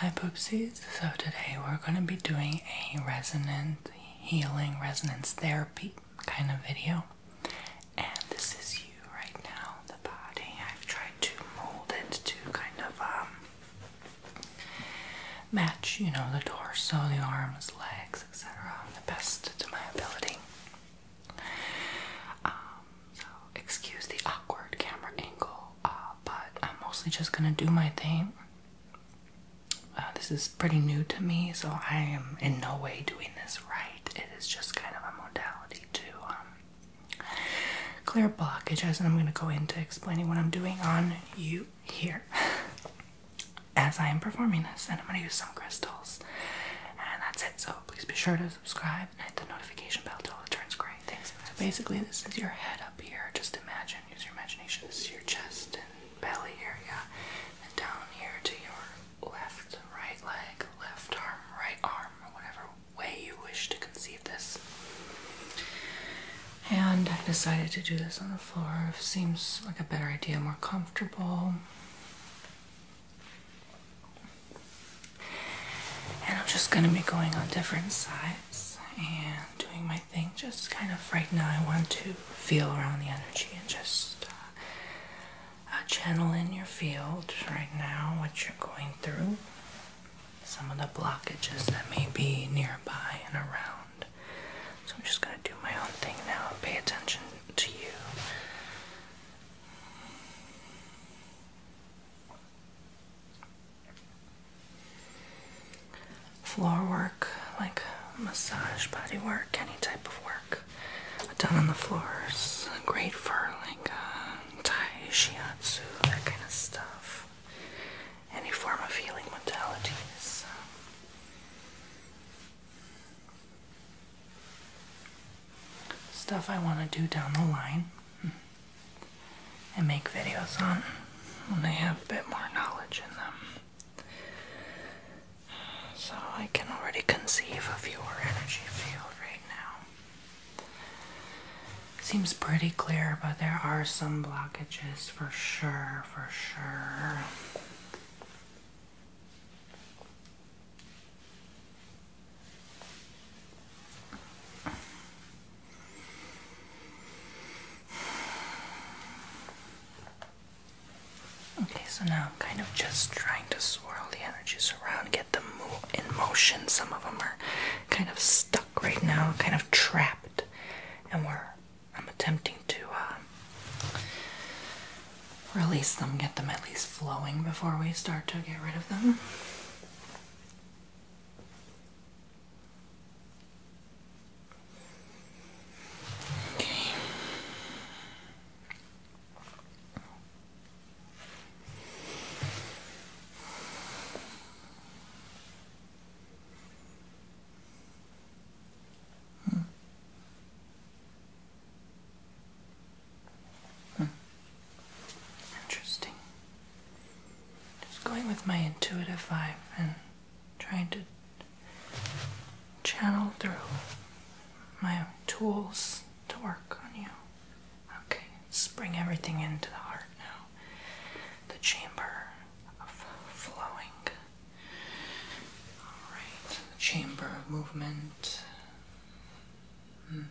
Hi Poopsies, so today we're going to be doing a resonance healing, resonance therapy kind of video. And this is you right now, the body. I've tried to mold it to kind of um, match, you know, the torso, the arms, legs, etc., the best to my ability. Um, so, excuse the awkward camera angle, uh, but I'm mostly just gonna do my thing. Uh, this is pretty new to me, so I am in no way doing this right. It is just kind of a modality to um, clear blockages, and I'm going to go into explaining what I'm doing on you here as I am performing this. And I'm going to use some crystals, and that's it. So please be sure to subscribe and hit the notification bell till it turns gray. Thanks. So basically, this is your head up here. Just imagine, use your imagination. This is your chest and belly area, and down here to your left, right leg, left arm, right arm, or whatever way you wish to conceive this. And I have decided to do this on the floor. seems like a better idea, more comfortable. And I'm just going to be going on different sides and doing my thing. Just kind of right now, I want to feel around the energy and just uh, uh, channel in your field right now, what you're going through some of the blockages that may be nearby and around. So I'm just going to do my own thing now and pay attention to you. Floor work, like massage, body work, any type of work done on the floors. great for like uh, Thai shiatsu, that kind of stuff any form of healing modality stuff I want to do down the line and make videos on when I have a bit more knowledge in them. So I can already conceive of your energy field right now. Seems pretty clear, but there are some blockages for sure, for sure. Okay, so now I'm kind of just trying to swirl the energies around, get them in motion. Some of them are kind of stuck right now, kind of trapped, and we're I'm attempting to uh, release them, get them at least flowing before we start to get rid of them. Okay. Hmm. Hmm. Interesting. Just going with my intuitive vibe and trying to channel through my tools to work on you. Okay, let's bring everything into the heart now. The chamber of flowing. Alright, chamber of movement. Hmm.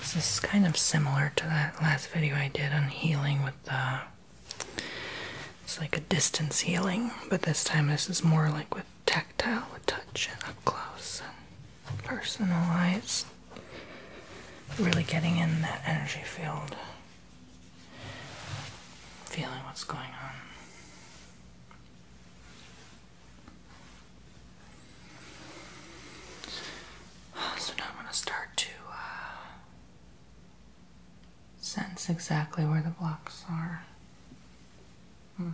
This is kind of similar to that last video I did on healing with the. Uh, it's like a distance healing, but this time this is more like with tactile with touch and up close and personalized. Really getting in that energy field, feeling what's going on. So now I'm going to start to uh, sense exactly where the blocks are. Hmm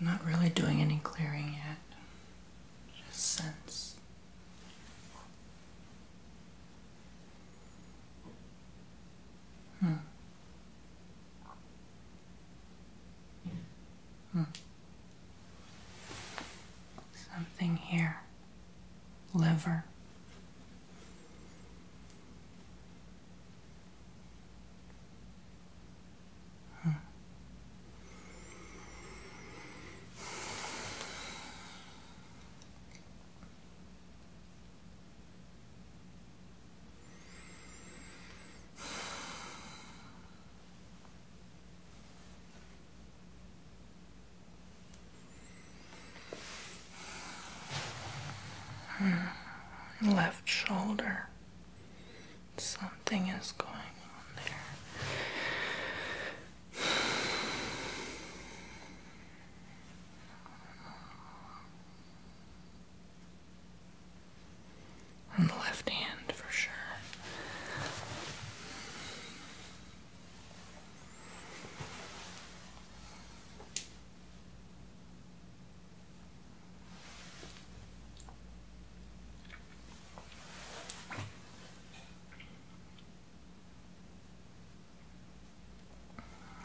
not really doing any clearing yet, just sense. Hmm. Hmm. Something here liver. Hmm. Left shoulder. Something is going on there. On the left hand, for sure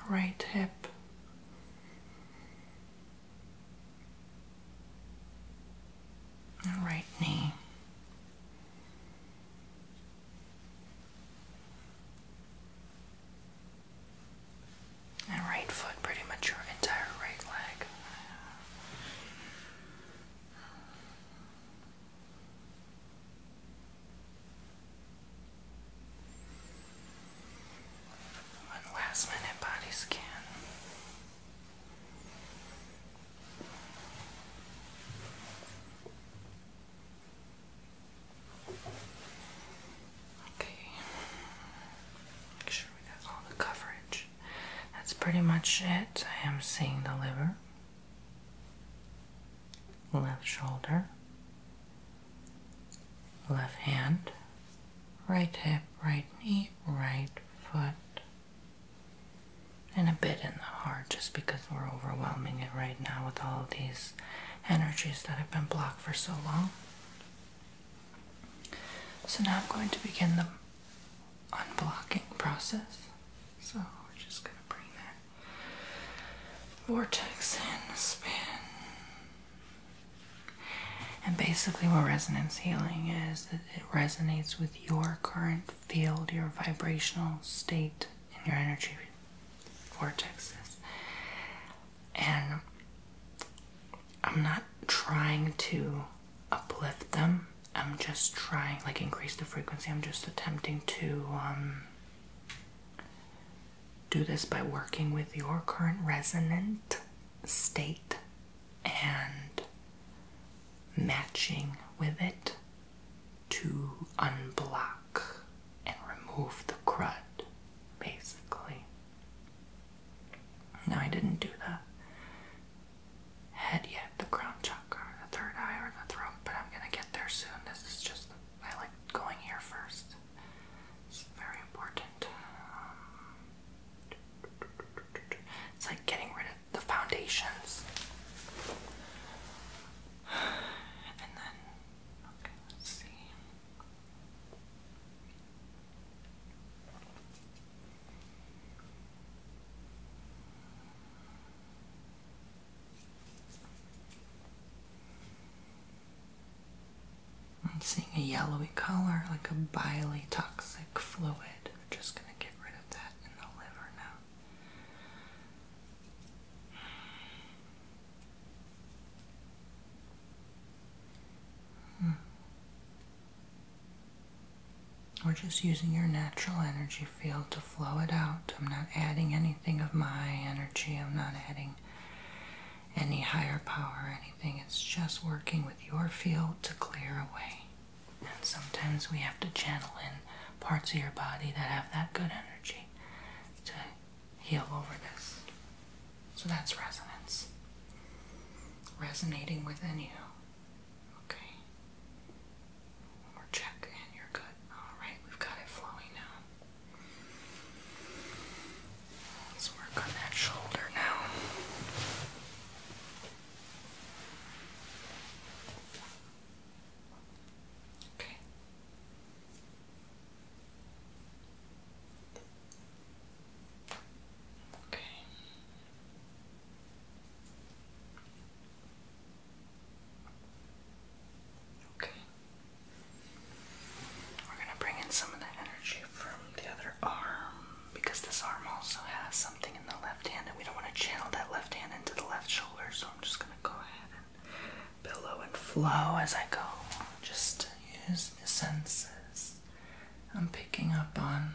right hip. Right knee, and right foot, pretty much your entire right leg. One last minute body scan. Okay. Make sure we got all the coverage. That's pretty much it. I am seeing the liver, left shoulder, left hand, right hip, right knee, right foot, and a bit in the heart just because we're overwhelming it right now with all of these energies that have been blocked for so long. So now I'm going to begin the unblocking process. So we're just going to bring that vortex in, spin. And basically, what resonance healing is, it resonates with your current field, your vibrational state, and your energy vortexes. And I'm not trying to uplift them. I'm just trying, like, increase the frequency. I'm just attempting to um, do this by working with your current resonant state and matching with it to unblock and remove the crud, basically. No, I didn't do the head yet, the crown chakra, the third eye, or the throat, but I'm gonna get there soon. This is just, I like going here first. It's very important. Um, it's like getting rid the foundations. And then, okay, let's see. I'm seeing a yellowy color, like a bile toxic fluid. We're just going to get rid of that in the liver now. Hmm. We're just using your natural energy field to flow it out. I'm not adding anything of my energy. I'm not adding any higher power or anything. It's just working with your field to clear away. And sometimes we have to channel in parts of your body that have that good energy to heal over this. So that's resonance. Resonating within you. Okay. One more check and you're good. Alright, we've got it flowing now. Let's work on that shoulder now. Okay. We're going to bring in some of the energy from the other arm because this arm also has something in the left we don't want to channel that left hand into the left shoulder, so I'm just going to go ahead and billow and flow as I go. Just use the senses I'm picking up on.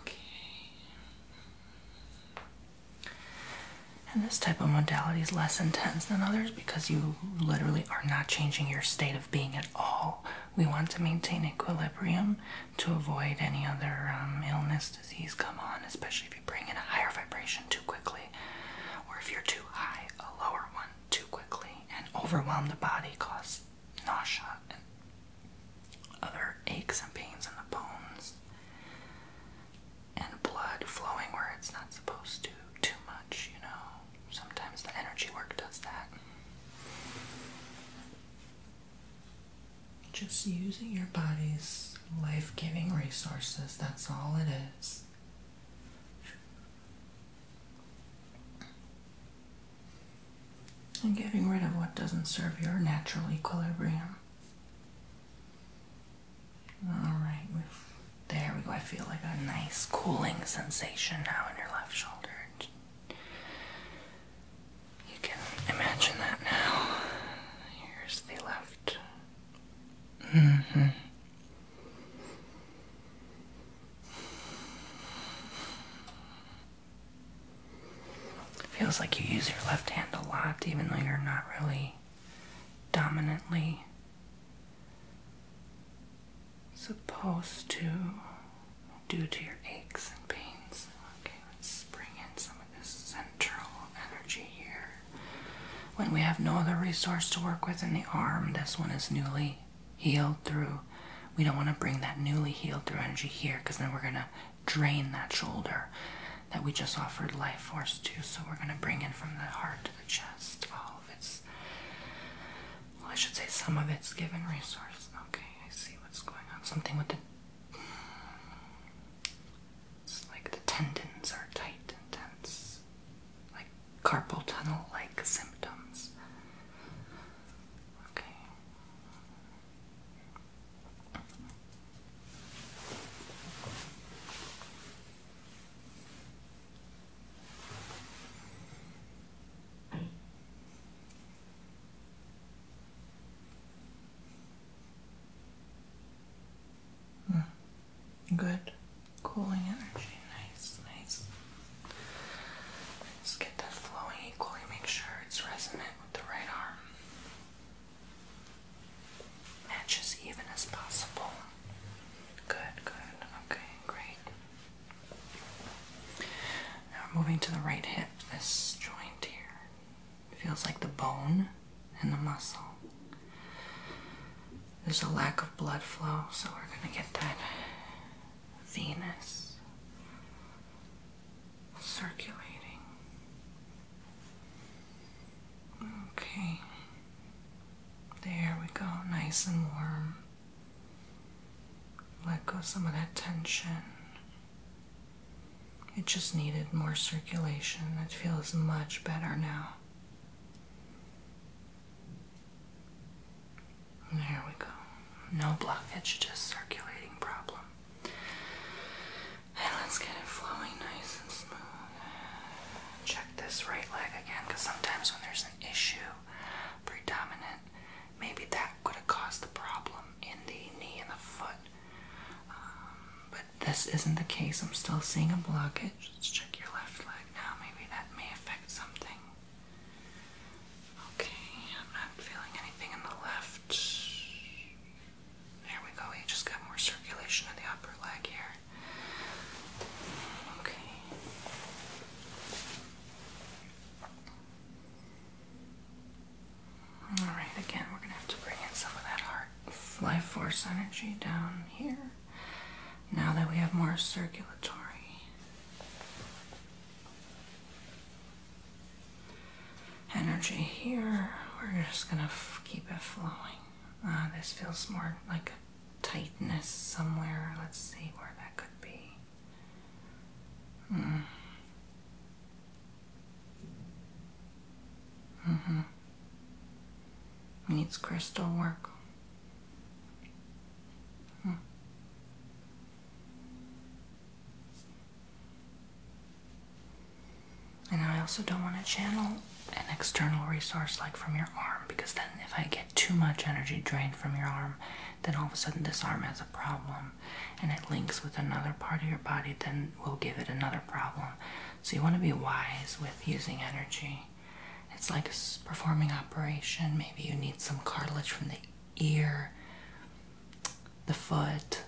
Okay. And this type of modality is less intense than others because you literally are not changing your state of being at all we want to maintain equilibrium to avoid any other um, illness, disease come on, especially if you bring in a higher vibration too quickly, or if you're too high, a lower one too quickly, and overwhelm the body, cause nausea and other aches and pains in the bones, and blood flowing where it's not supposed to, too much, you know. Sometimes the energy work does that. Just using your body's life giving resources, that's all it is. And getting rid of what doesn't serve your natural equilibrium. Alright, there we go. I feel like a nice cooling sensation now in your left shoulder. You can imagine that now. Here's the left. hmm. Feels like you use your left hand a lot, even though you're not really dominantly supposed to due to your aches and pains. Okay, let's bring in some of this central energy here. When we have no other resource to work with in the arm, this one is newly healed through. We don't want to bring that newly healed through energy here because then we're going to drain that shoulder that we just offered life force to. So we're going to bring in from the heart to the chest all of its well, I should say some of it's given resource. Okay, I see what's going on. Something with the. It's like the tendons are tight and tense. Like carpal tunnel like symptoms. Okay. Hmm. Good cooling energy. Nice, nice. Just get that flowing equally, make sure it's resonant with the right arm. Match even as possible. Good, good. Okay, great. Now we're moving to the right hip, this joint here. feels like the bone and the muscle. There's a lack of blood flow, so we're going to get that venous circulating. Okay. There we go, nice and warm. Let go some of that tension. It just needed more circulation. It feels much better now. There we go. No blockage, just circulating problem. And let's get it flowing nice and smooth. Check this right leg again because sometimes when there's an issue predominant, maybe that could have caused the problem in the knee and the foot. Um, but this isn't the case. I'm still seeing a blockage. Let's check your left leg now. Maybe that may affect something. Okay, I'm not feeling anything in the left. There we go. You just got more circulation in the upper leg here. Okay. All right, again, we're going to have to bring in some of that heart life force energy down here now that we have more circulatory. Energy here, we're just gonna keep it flowing. Uh, this feels more like a tightness somewhere. Let's see where that could be. Mm. Mm-hmm. Needs crystal work. Hmm. And I also don't want to channel an external resource like from your arm because then if I get too much energy drained from your arm, then all of a sudden this arm has a problem and it links with another part of your body, then we will give it another problem. So you want to be wise with using energy. It's like performing operation. Maybe you need some cartilage from the ear, the foot,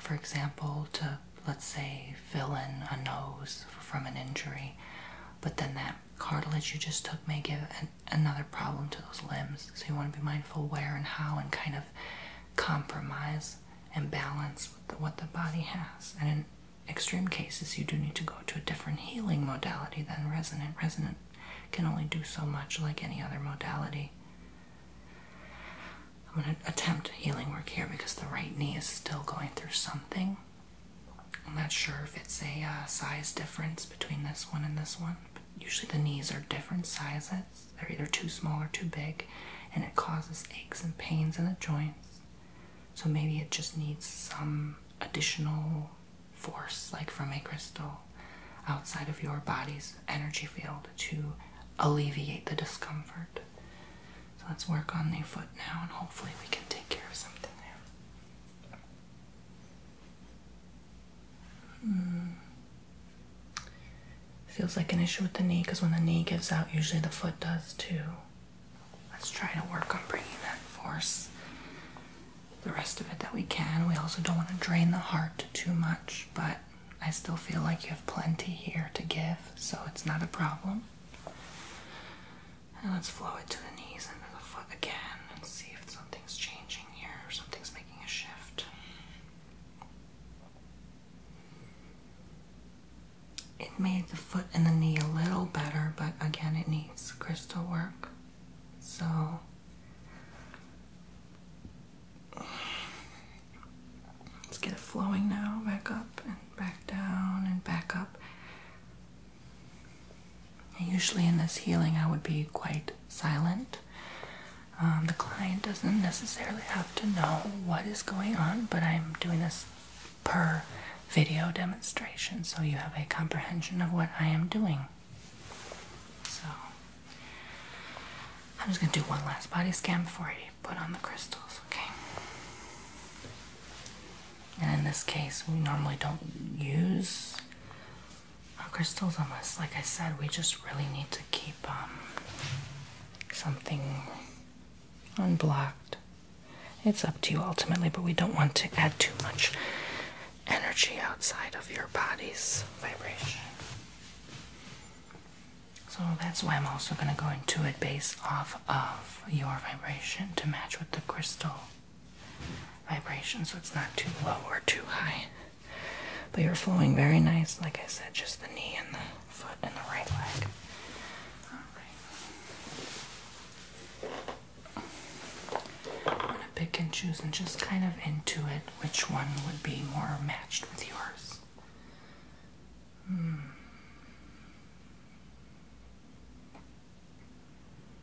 for example, to let's say fill in a nose from an injury. But then that cartilage you just took may give an another problem to those limbs. So you want to be mindful where and how and kind of compromise and balance with what the body has. And in extreme cases, you do need to go to a different healing modality than resonant. Resonant can only do so much like any other modality. I'm going to attempt healing work here because the right knee is still going through something. I'm not sure if it's a uh, size difference between this one and this one. Usually the knees are different sizes. They're either too small or too big, and it causes aches and pains in the joints. So maybe it just needs some additional force, like from a crystal outside of your body's energy field, to alleviate the discomfort. So let's work on the foot now, and hopefully, we can take care of something there. Mm. Feels like an issue with the knee because when the knee gives out, usually the foot does too. Let's try to work on bringing that force, the rest of it that we can. We also don't want to drain the heart too much, but I still feel like you have plenty here to give, so it's not a problem. let's flow it to the knees under the foot again and see if something something's making a shift. It made the foot and the knee a little better, but again, it needs crystal work. So, let's get it flowing now, back up and back down and back up usually in this healing, I would be quite silent. Um, the client doesn't necessarily have to know what is going on, but I'm doing this per video demonstration so you have a comprehension of what I am doing. So, I'm just going to do one last body scan before I put on the crystals, okay? And in this case, we normally don't use crystals on this, like I said, we just really need to keep um, something unblocked. It's up to you ultimately, but we don't want to add too much energy outside of your body's vibration. So that's why I'm also going to go into it based off of your vibration to match with the crystal vibration so it's not too low or too high. But you're flowing very nice, like I said, just the knee and the foot and the right leg. Alright. I'm gonna pick and choose and just kind of intuit which one would be more matched with yours. Hmm.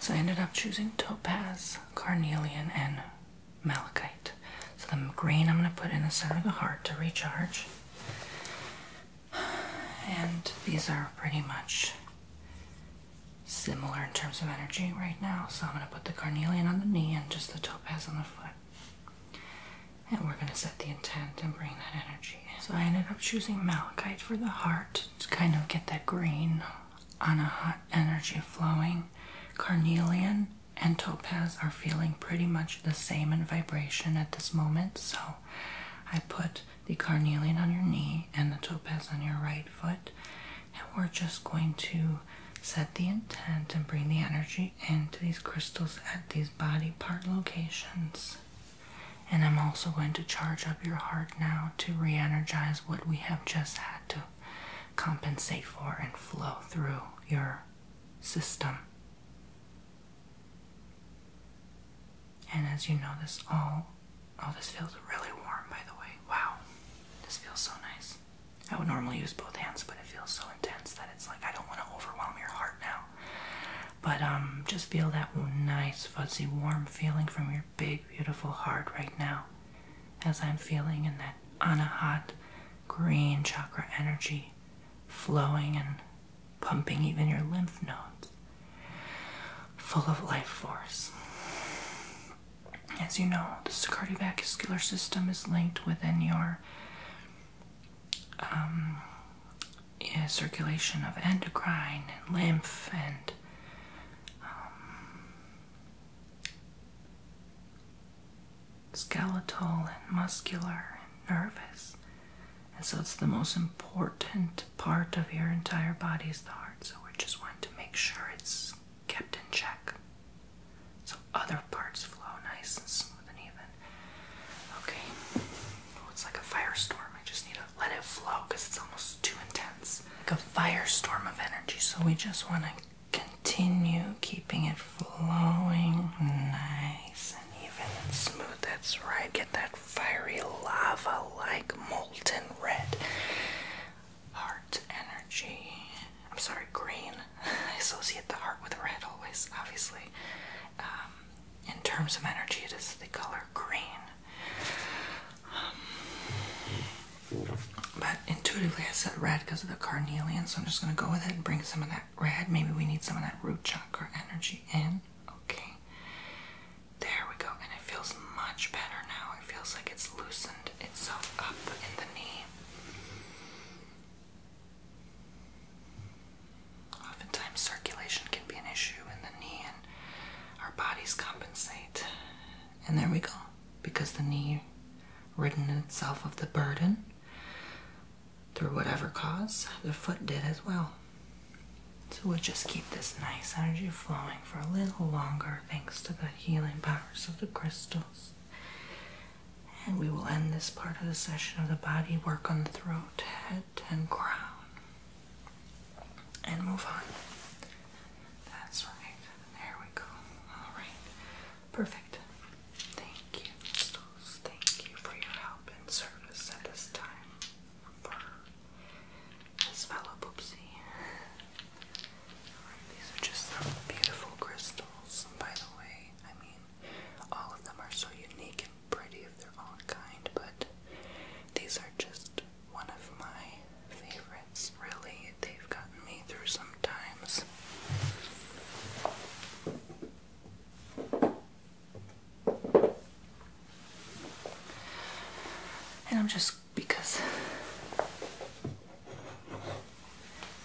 So I ended up choosing topaz, carnelian, and malachite. So the green I'm going to put in the center of the heart to recharge. And these are pretty much similar in terms of energy right now. So I'm going to put the carnelian on the knee and just the topaz on the foot and we're going to set the intent and bring that energy in. So I ended up choosing malachite for the heart to kind of get that green on a hot energy flowing. Carnelian and topaz are feeling pretty much the same in vibration at this moment, so I put the carnelian on your knee and the topaz on your right foot, and we're just going to set the intent and bring the energy into these crystals at these body part locations. And I'm also going to charge up your heart now to re energize what we have just had to compensate for and flow through your system. And as you know, this all, oh, this feels really warm by the way. Wow, this feels so nice. I would normally use both hands, but it feels so intense that it's like I don't want to overwhelm your heart now. But um, just feel that nice, fuzzy, warm feeling from your big, beautiful heart right now, as I'm feeling in that anahat green chakra energy flowing and pumping even your lymph nodes, full of life force. As you know, the cardiovascular system is linked within your um, circulation of endocrine and lymph and um, skeletal and muscular and nervous. And so it's the most important part of your entire body is the heart. So we just want to make sure it's kept in check. So other parts flow nice and smooth. Okay. Oh, it's like a firestorm. I just need to let it flow because it's almost too intense. Like a firestorm of energy. So we just want to continue keeping it flowing nice and even and smooth. That's right. Get that fiery lava like molten red heart energy. I'm sorry, green. I associate the heart with red always, obviously. Um, in terms of energy, it is the color green. but intuitively, I said red because of the carnelian, so I'm just going to go with it and bring some of that red. Maybe we need some of that root chakra energy in. Okay. There we go. And it feels much better now. It feels like it's loosened itself up in the knee. Oftentimes, circulation can be an issue in the knee, and our bodies compensate. And there we go, because the knee ridden itself of the burden through whatever cause, the foot did as well. So we'll just keep this nice energy flowing for a little longer thanks to the healing powers of the crystals. And we will end this part of the session of the body work on the throat and crown and move on. That's right. There we go. Alright. Perfect. Thank you, Mistress. Thank you for your help and service at this time for this fellow Poopsie. these are just some beautiful crystals. And by the way, I mean, all of them are so unique pretty of their own kind, but these are just one of my favorites. Really, they've gotten me through some times. And I'm just because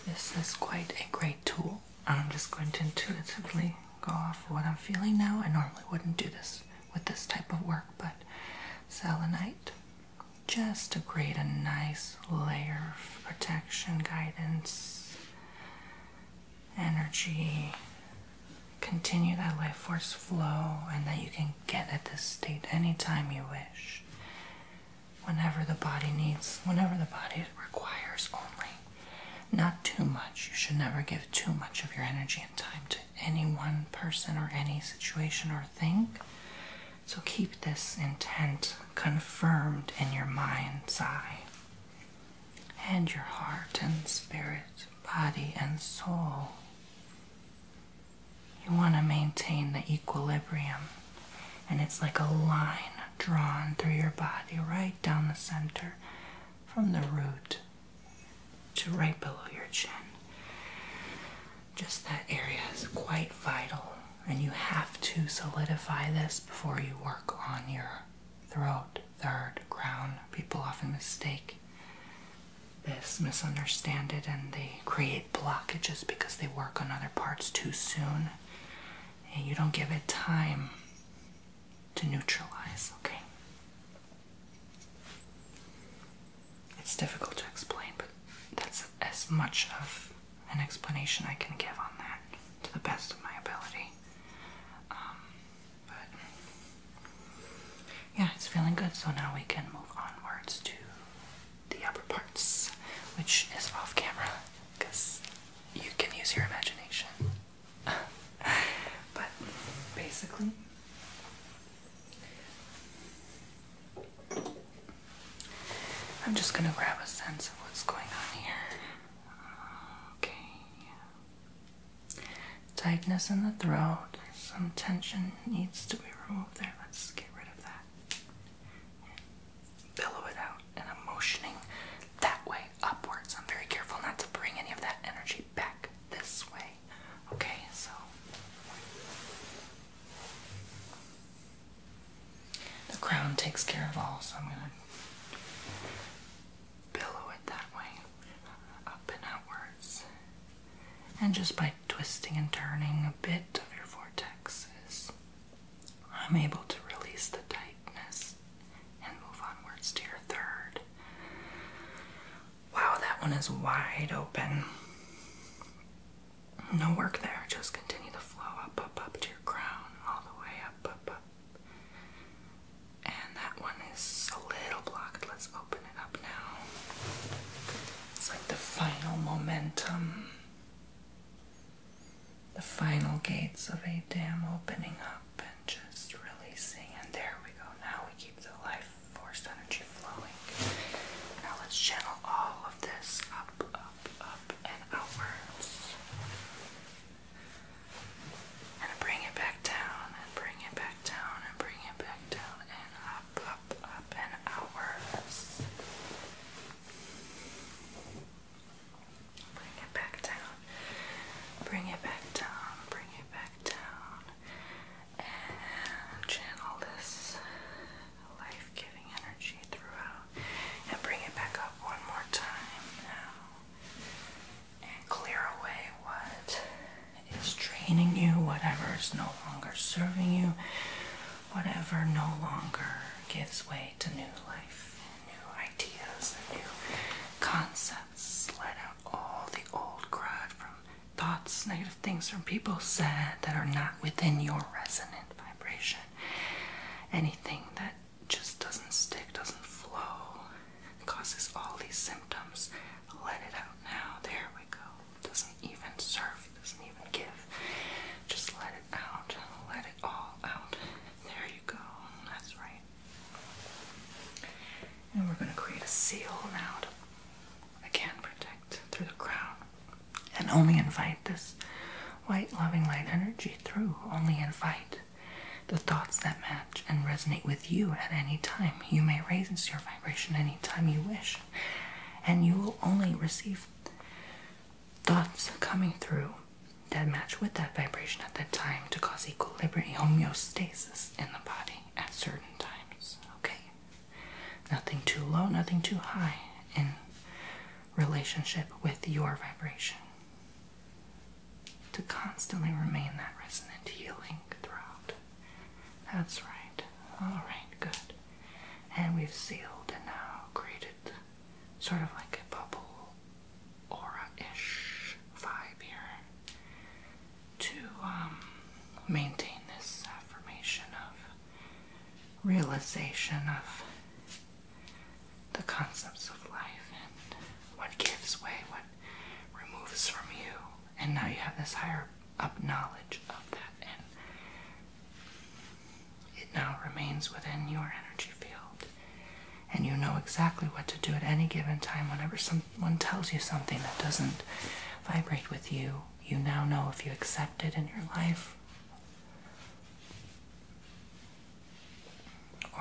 this is quite a great tool I'm just going to intuitively go off what I'm feeling now. I normally wouldn't do this with this type of work, but selenite, just to create a nice layer of protection, guidance, energy. Continue that life force flow, and that you can get at this state anytime you wish. Whenever the body needs, whenever the body requires only. Not too much. You should never give too much of your energy and time to any one person or any situation or thing. So keep this intent confirmed in your mind's eye and your heart and spirit, body and soul. You want to maintain the equilibrium, and it's like a line drawn through your body right down the center from the root to right below your chin. Just that area is quite vital, and you have to solidify this before you work on your throat, third, crown. People often mistake this, misunderstand it, and they create blockages because they work on other parts too soon and you don't give it time to neutralize, okay? It's difficult to explain, but that's as much of an explanation I can give on that to the best of my ability. Um, but yeah, it's feeling good, so now we can move onwards to the upper parts, which is off camera because you can use your imagination. but basically, I'm just going to grab a sense of what's going on here. Okay. Tightness in the throat. Some tension needs to be removed there. Let's get rid of that. Pillow it out and I'm motioning that way upwards. I'm very careful not to bring any of that energy back this way. Okay, so the crown takes care of all, so I'm gonna billow it that way, up and outwards. And just by twisting and turning, a bit of your vortexes. I'm able to release the tightness and move onwards to your third. Wow, that one is wide open. No work there, just continue the flow up, up, up to your crown, all the way up, up, up. And that one is a little blocked. Let's open it up now. It's like the final momentum the final gates of a dam opening up and just releasing. And there we go. Now we keep the life force energy flowing. Now let's channel all of this up, up, up, and outwards. And bring it back down, and bring it back down, and bring it back down, and up, up, up, and outwards. Bring it back down. Bring it back down. Bring it back down. And channel this life giving energy throughout. And bring it back up one more time now. And clear away what is draining you, whatever is no longer serving you, whatever no longer gives way to new life new ideas and new concepts, let out all the old crud from thoughts, negative things from people said that are not within your resonant vibration. Anything that just doesn't stick, doesn't flow, causes all these symptoms. Let it out now. There we go. Doesn't even serve, doesn't even give. Just let it out. Let it all out. There you go. That's right. And we're going to create a seal now to again protect through the crown. And only invite this white loving light energy through. Only invite the thoughts that match and resonate with you at any time. You may raise your vibration anytime you wish. And you will only receive thoughts coming through that match with that vibration at that time to cause equilibrium homeostasis in the body at certain times. Okay? Nothing too low, nothing too high in relationship with your vibration. To constantly remain that resonant healing throughout. That's right. Alright, good. And we've sealed and now created sort of like a bubble aura-ish vibe here to um, maintain this affirmation of realization of the concepts of life and what gives way, what removes from you, and now you have this higher up knowledge of that, and it now remains within your energy field and you know exactly what to do at any given time whenever someone tells you something that doesn't vibrate with you you now know if you accept it in your life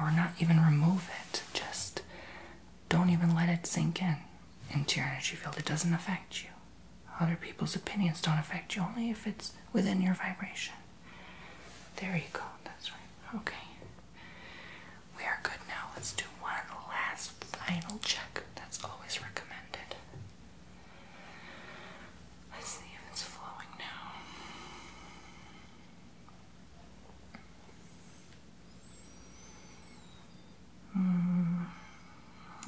or not even remove it just don't even let it sink in into your energy field it doesn't affect you other people's opinions don't affect you only if it's within your vibration there you go. That's right. Okay. We are good now. Let's do one last final check. That's always recommended. Let's see if it's flowing now. Mm,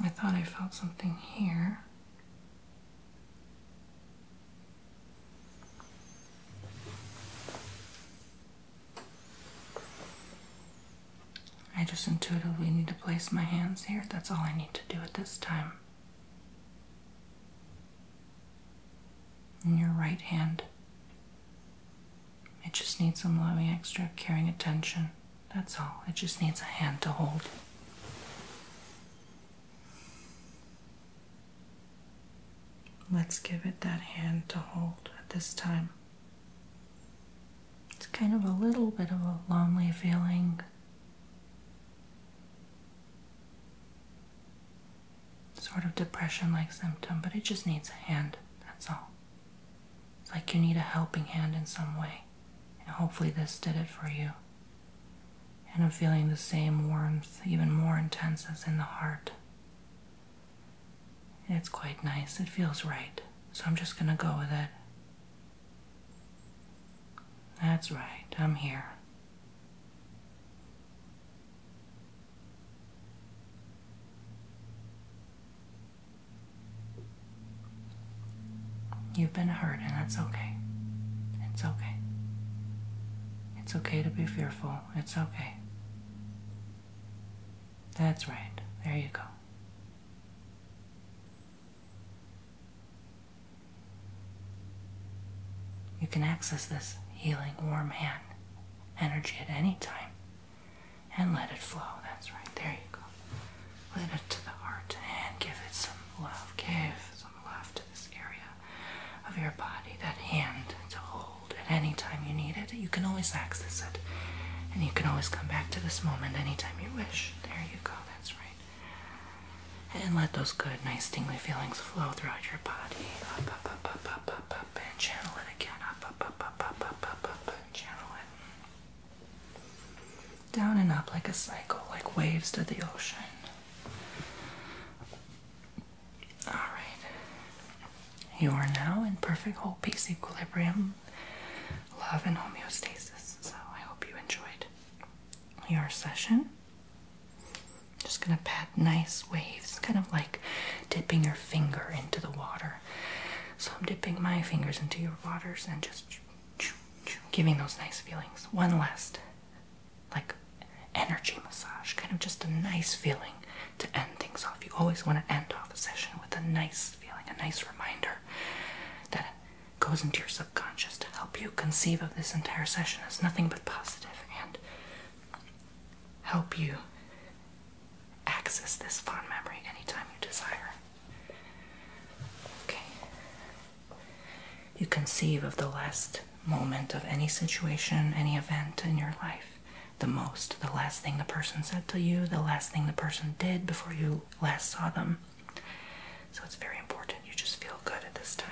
I thought I felt something here. I just intuitively need to place my hands here. That's all I need to do at this time. In your right hand, it just needs some loving, extra caring attention. That's all. It just needs a hand to hold. Let's give it that hand to hold at this time. It's kind of a little bit of a lonely feeling. Sort of depression like symptom, but it just needs a hand, that's all. It's like you need a helping hand in some way, and hopefully, this did it for you and I'm feeling the same warmth, even more intense as in the heart. It's quite nice, it feels right, so I'm just gonna go with it. That's right, I'm here. You've been hurt, and that's okay. It's okay. It's okay to be fearful. It's okay. That's right. There you go. You can access this healing warm hand energy at any time and let it flow. That's right. There you go. Let it to the heart and give it some love. Give some love to this area of your body, that hand to hold at any time you need it. You can always access it, and you can always come back to this moment anytime you wish. There you go, that's right. And let those good, nice, tingly feelings flow throughout your body. Up, up, up, up, up, up, up, and channel it again. Up, up, up, up, up, up, up, up, and channel it. Down and up like a cycle, like waves to the ocean. All right. You are now in perfect whole peace equilibrium, love, and homeostasis. So I hope you enjoyed your session. Just gonna pat nice waves, kind of like dipping your finger into the water. So I'm dipping my fingers into your waters and just giving those nice feelings. One last like energy massage, kind of just a nice feeling to end things off. You always want to end off a session with a nice feeling, a nice reminder that goes into your subconscious to help you conceive of this entire session as nothing but positive and help you access this fond memory anytime you desire. Okay. You conceive of the last moment of any situation, any event in your life the most. The last thing the person said to you, the last thing the person did before you last saw them. So it's very important. You just feel good at this time.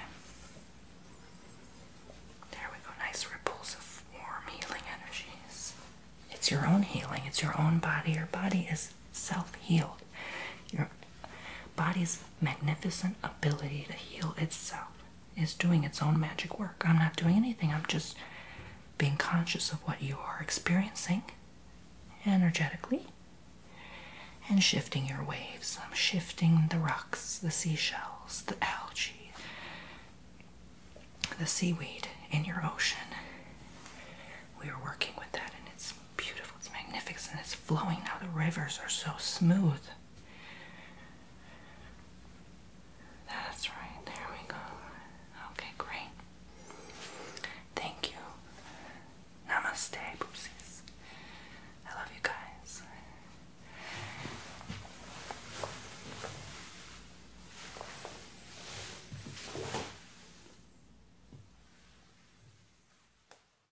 There we go. Nice ripples of warm healing energies. It's your own healing, it's your own body. Your body is self healed. Your body's magnificent ability to heal itself is doing its own magic work. I'm not doing anything, I'm just being conscious of what you are experiencing energetically and shifting your waves. I'm shifting the rocks, the seashells, the algae, the seaweed in your ocean. We are working with that, and it's beautiful, it's magnificent, it's flowing now. The rivers are so smooth. That's right, there we go. Okay, great. Thank you. Namaste, poopsies. I love you guys.